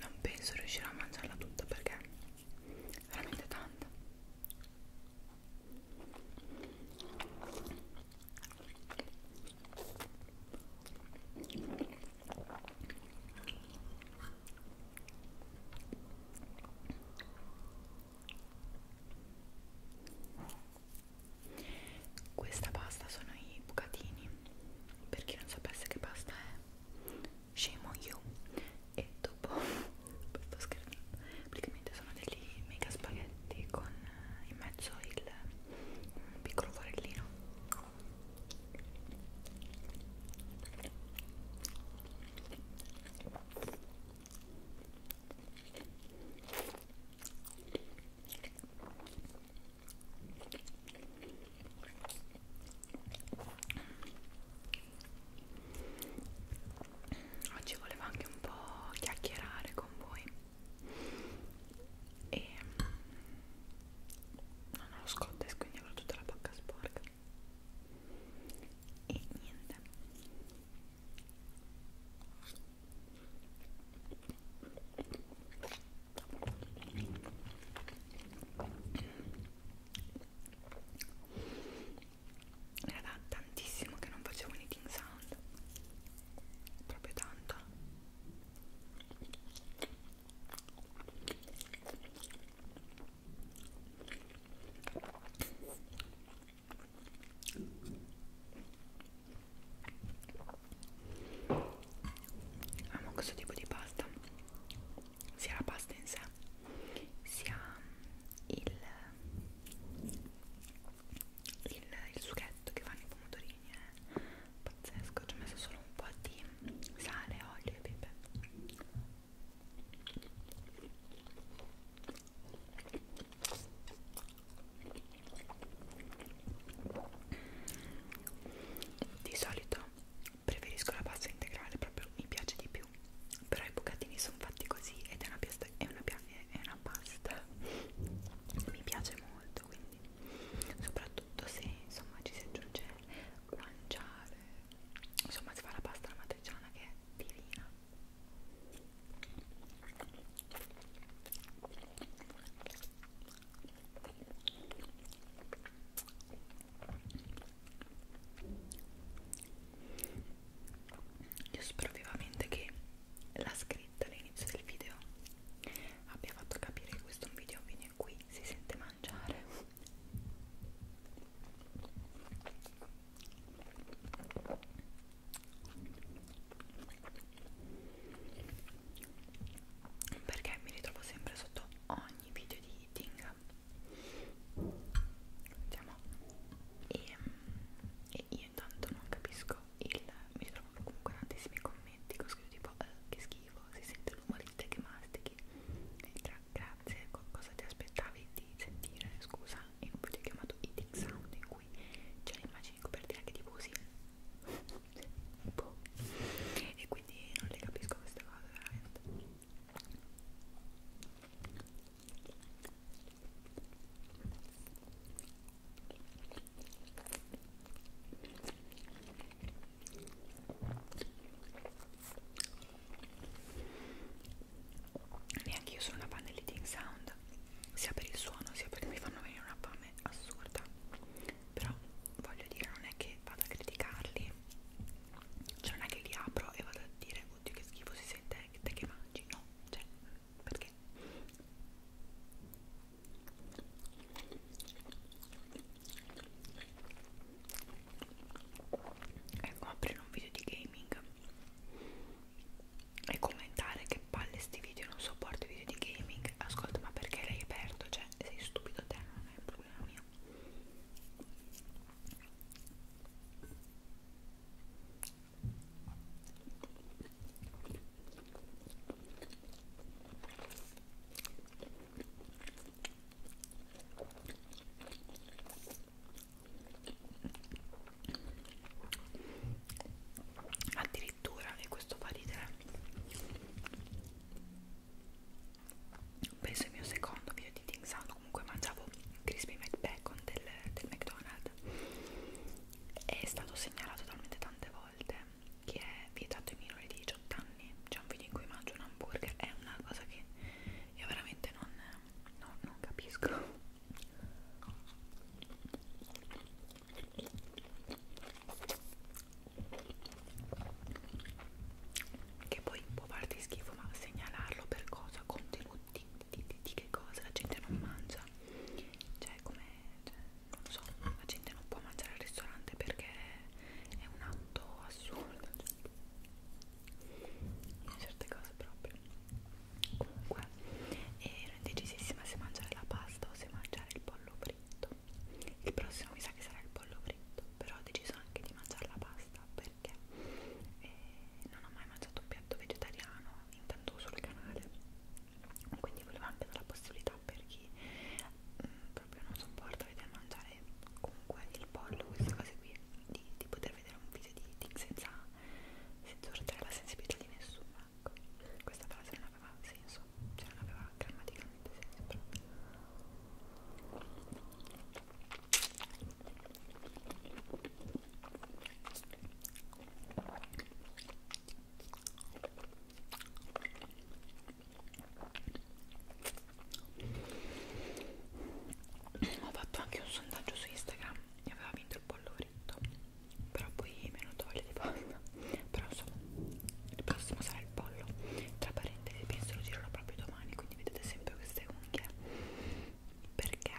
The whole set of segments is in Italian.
Non penso riuscirò a mangiarla tutta perché è veramente tanta. Questa pasta sono i bucatini, per chi non sapesse che pasta è, scemo io e dopo sto scherzando, praticamente praticamente sono degli mega spaghetti con eh, in mezzo il un piccolo forellino Oggi volevo anche un po' chiacchierare con voi e non ho lo scottex quindi avrò tutta la bocca sporca e niente era da tantissimo che non facevo un eating sound proprio tanto amo questo tipo di pasta sia la pasta in sé sia il, il il sughetto che fanno i pomodorini è eh. pazzesco, ci ho messo solo un po' di sale, olio e pepe di solito preferisco la pasta integrale, proprio mi piace di più però i bucatini sono fatti così ed è una, pasta, è una, è una una pasta mi piace molto quindi soprattutto se insomma ci si aggiunge guanciale insomma si fa la pasta alla matriciana che è divina io spero vivamente che la scritta all'inizio del video abbia fatto capire che questo è un video viene qui si sente mangiare perché mi ritrovo sempre sotto ogni video di eating Diciamo, e, e io tanto non capisco il... mi trovo comunque tantissimi commenti che ho scritto tipo eh, che schifo, si sente l'umorista che mastichi Tra, grazie, co cosa ti aspettavi di sentire, scusa in un video chiamato Eating Sound in cui c'è l'immagine di copertina che ti usi boh. e quindi non le capisco queste cose veramente Neanche io sono una fan dell'eating sound, sia per il suono sia perché mi fanno venire una fame assurda. Però voglio dire, non è che vado a criticarli, cioè non è che li apro e vado a dire, oddio che schifo si sente, te che mangi, no, cioè perché ecco aprire un video di gaming e commentare che palle sti video non sopporto i video di gaming ascolta ma perché l'hai aperto cioè sei stupido te non è un problema mio addirittura e questo fa ridere penso il mio secondo video di Ting Sang comunque mangiavo crispy McBacon del, del McDonald's è stato segnalato talmente tante volte che è vietato ai minori di 18 anni c'è un video in cui mangio un hamburger è una cosa che io veramente non, no, non capisco che poi può farti schifo ma segnalarlo per cosa? Contenuti di, di, di che cosa la gente non mangia cioè come cioè, non lo so la gente non può mangiare al ristorante perché è un atto assurdo in cioè, certe cose proprio comunque ero indecisissima se mangiare la pasta o se mangiare il pollo fritto il prossimo mi sa che sarà il pollo fritto però ho deciso anche di mangiare la pasta per perché e eh, non ho mai mangiato un piatto vegetariano intanto sul canale quindi volevo anche dare la possibilità per chi mh, mm, proprio non sopporta vedere mangiare comunque il pollo queste cose qui di, di poter vedere un video di eating senza, senza urtare la sensibilità di nessuno ecco questa frase non aveva senso cioè non aveva grammaticamente senso ho fatto anche un sondaggio su Instagram e aveva vinto il polloretto, però poi mi è venuto voglia di pasta. Però insomma, il prossimo sarà il pollo. Tra parentesi, penso lo girerò proprio domani, quindi vedete sempre queste unghie perché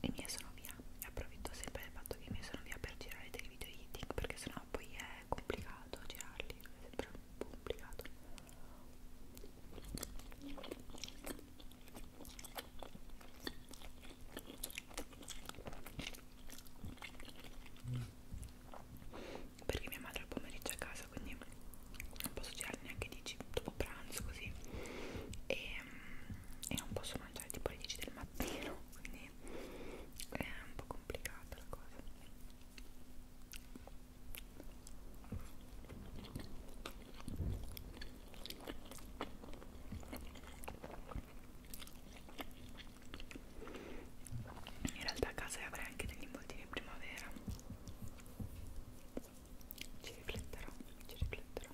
i miei sono via e approfitto sempre del fatto che i miei sono via per girare dei video eating perché sennò poi è complicato girarli è sempre un po' complicato perché mia madre al pomeriggio è a casa quindi non posso girare neanche 10 dopo tipo pranzo così e, mm, e non posso mangiare tipo alle 10 del mattino quindi è un po' complicata la cosa in realtà a casa avrei anche degli involtini in primavera ci rifletterò, ci rifletterò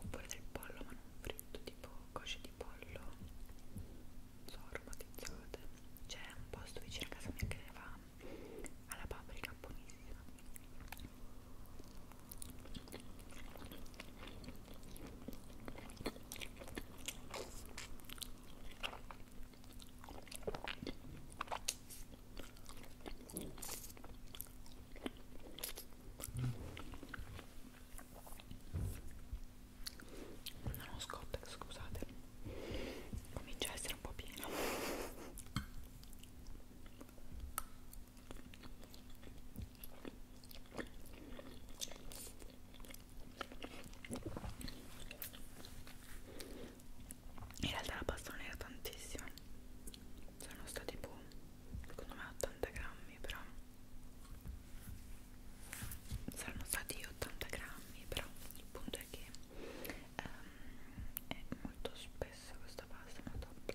oppure del pollo ma non fritto tipo cosce di pollo non so, aromatizzate c'è un posto vicino a casa mia che ne fa alla paprika buonissima non ho scotta scusate comincia a essere un po' piena in realtà la pasta non era tantissima sono stati tipo boh, secondo me 80 grammi però saranno stati 80 grammi però il punto è che um, è molto spessa questa pasta ma top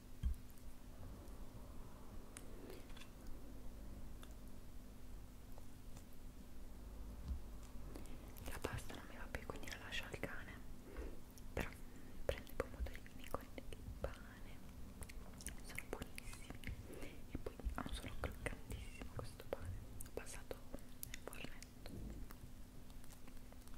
La pasta non mi va più, quindi la lascio al cane. Però prendo i pomodorini con il pane, sono buonissimi. E poi ha un suono croccantissimo questo pane. Ho passato nel fornetto.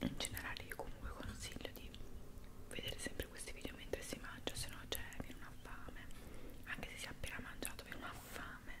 in generale io comunque consiglio di vedere sempre questi video mentre si mangia se no c'è cioè, viene una fame anche se si è appena mangiato viene una fame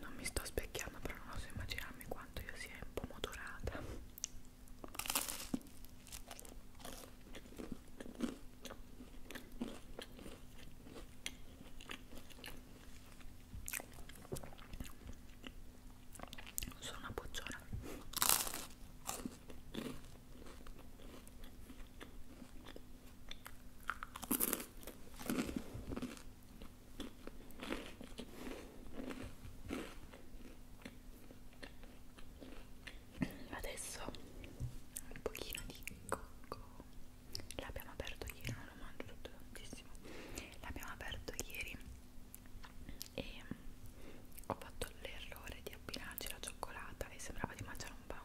non mi sto specchiando però non so immaginarmi quanto io sia impomodorata sono una bocciona Adesso un pochino di cocco. L'abbiamo aperto ieri, non lo mangio tutto tantissimo. L'abbiamo aperto ieri e ho fatto l'errore di abbinarci la cioccolata e sembrava di mangiare un pan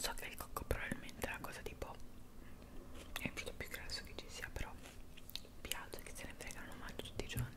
so che il cocco probabilmente è una cosa tipo è il prodotto più grasso che ci sia però piace che se ne frega lo mangio tutti i giorni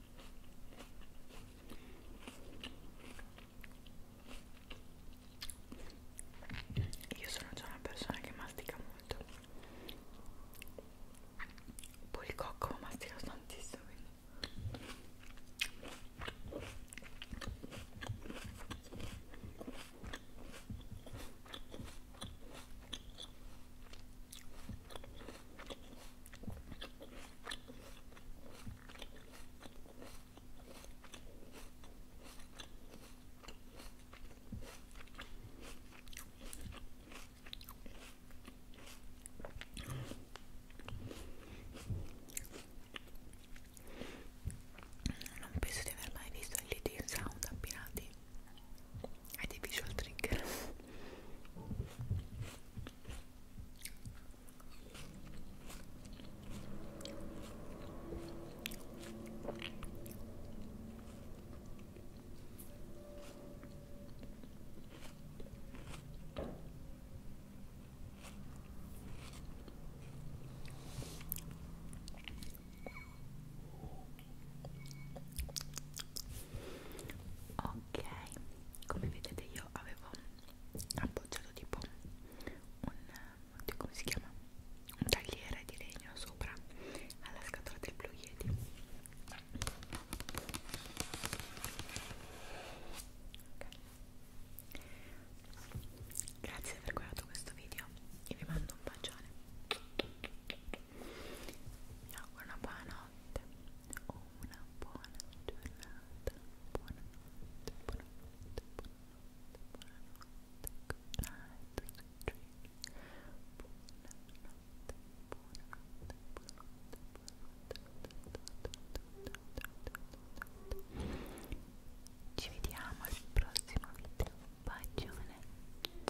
Io sono già una persona che mastica molto. Poi il cocco mastica tantissimo. Quindi. Non penso di aver mai visto gli Sound abbinati I dei visual trigger Ho oh, ok come vedete io avevo appoggiato tipo un oddio, come si chiama un tagliere di legno sopra alla scatola del Blue Yeti okay. grazie per aver guardato questo video e vi mando un bacione mi auguro una buona notte o una buona giornata, buonanotte, buonanotte, buonanotte, buonanotte, good night, buonanotte, buonanotte, buonanotte, ci vediamo al prossimo video, bacione